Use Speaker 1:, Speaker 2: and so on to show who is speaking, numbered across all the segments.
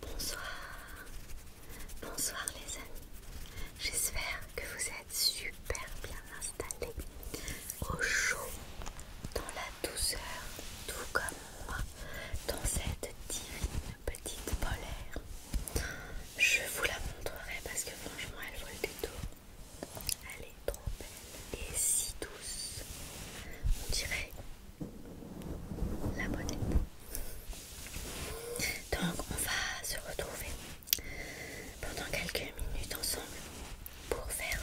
Speaker 1: Bonsoir, bonsoir les amis, j'espère que vous êtes super bien installés au chaud, dans la douceur, tout comme moi, dans cette divine petite polaire. Je vous la montrerai parce que franchement, elle vole le détour. Elle est trop belle et si douce. On dirait la bonne Donc, on va se retrouver pendant quelques minutes ensemble pour faire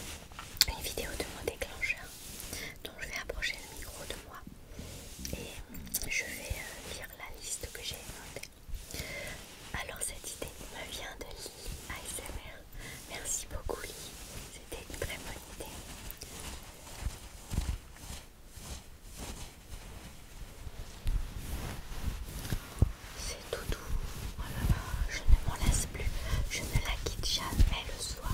Speaker 1: une vidéo de mon déclencheur. Donc, je vais approcher le micro de moi et je vais euh, lire la liste que j'ai notée. Alors cette idée me vient de Lily ASMR. Merci beaucoup Lily, c'était une très bonne idée. C'est tout doux, oh je ne m'en laisse plus, je ne la quitte jamais le soir.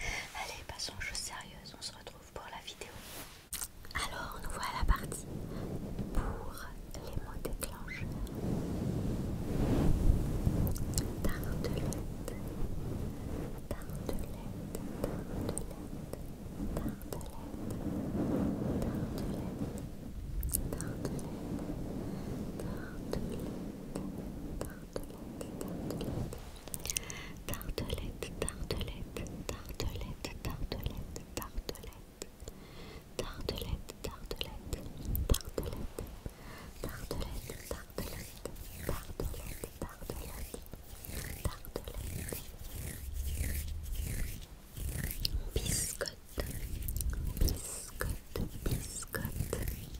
Speaker 1: Allez, passons aux choses sérieuses, on se retrouve pour la vidéo. Alors, nous voilà partis pour les mots déclencheurs. Tartelette, tartelette, tartelette, tartelette, tartelette, tartelette, tartelette tartelette, tartelette, tartelette, tartelette, tartelette, tartelette, tartelette, tartelette, tartelette, tartelette, tartelette, tartelette, biscotte.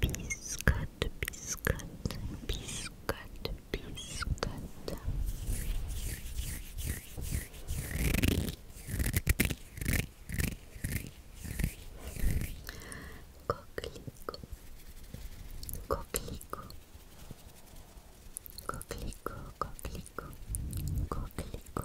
Speaker 1: biscuit, biscuit, biscuit, biscuit. Coquelico, coquelico, coquelico, coquelico, coquelico.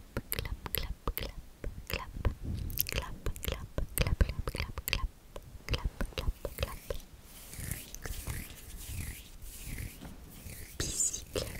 Speaker 1: clap, clap, clap, clap, clap, clap, clap, clap, clap, clap, clap, clap, clap, clap. Bicyclette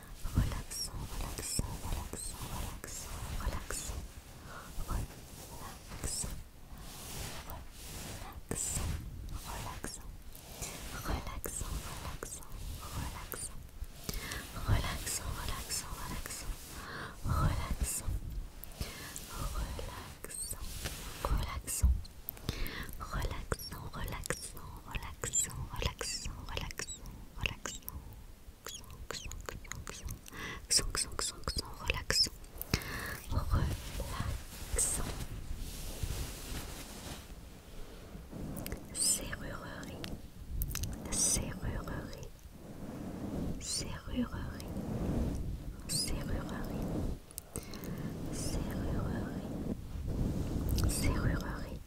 Speaker 1: relaxant, relaxant, relaxant, relaxant, relaxant, relaxant, relaxant, relaxant, relaxant, relaxant, relaxant. Relaxant, relaxant, relaxant, relaxant, relaxant, relaxant, relaxant, relaxant, relaxant, relaxant, relaxant, relaxant, relaxant, relaxant, relaxant, relaxant, relaxant, Serrurerie, serrurerie, serrurerie, serrurerie, serrurerie, serrurerie.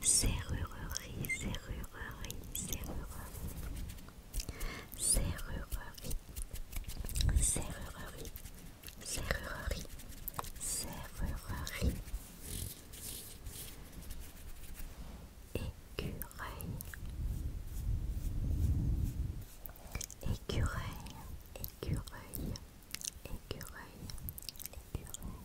Speaker 1: Serrurerie, serrurerie, serrurerie. Serrurerie, serrurerie, serrurerie, serrurerie. Écureuil, écureuil, écureuil, écureuil, écureuil.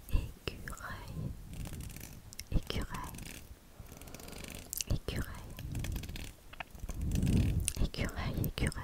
Speaker 1: Écureuil, écureuil, écureuil, écureuil, écureuil.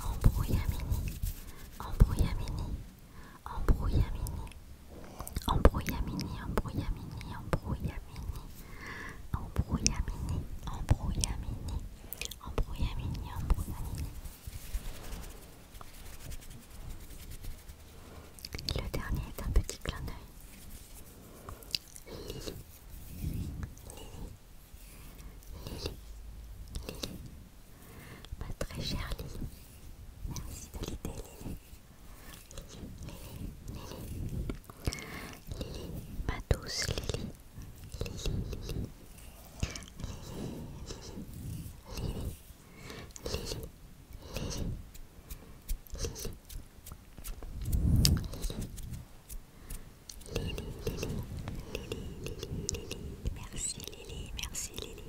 Speaker 1: Embrouillamini, embrouillamini, embrouillamini, embrouillamini, embrouillamini, embrouillamini, embrouillamini, embrouillamini, embrouillamini, embrouillamini. Et le dernier est un petit clin d'œil. Pas très chère Lily, merci Lily. ma douce Lili, Lili, merci Lili, merci Lily.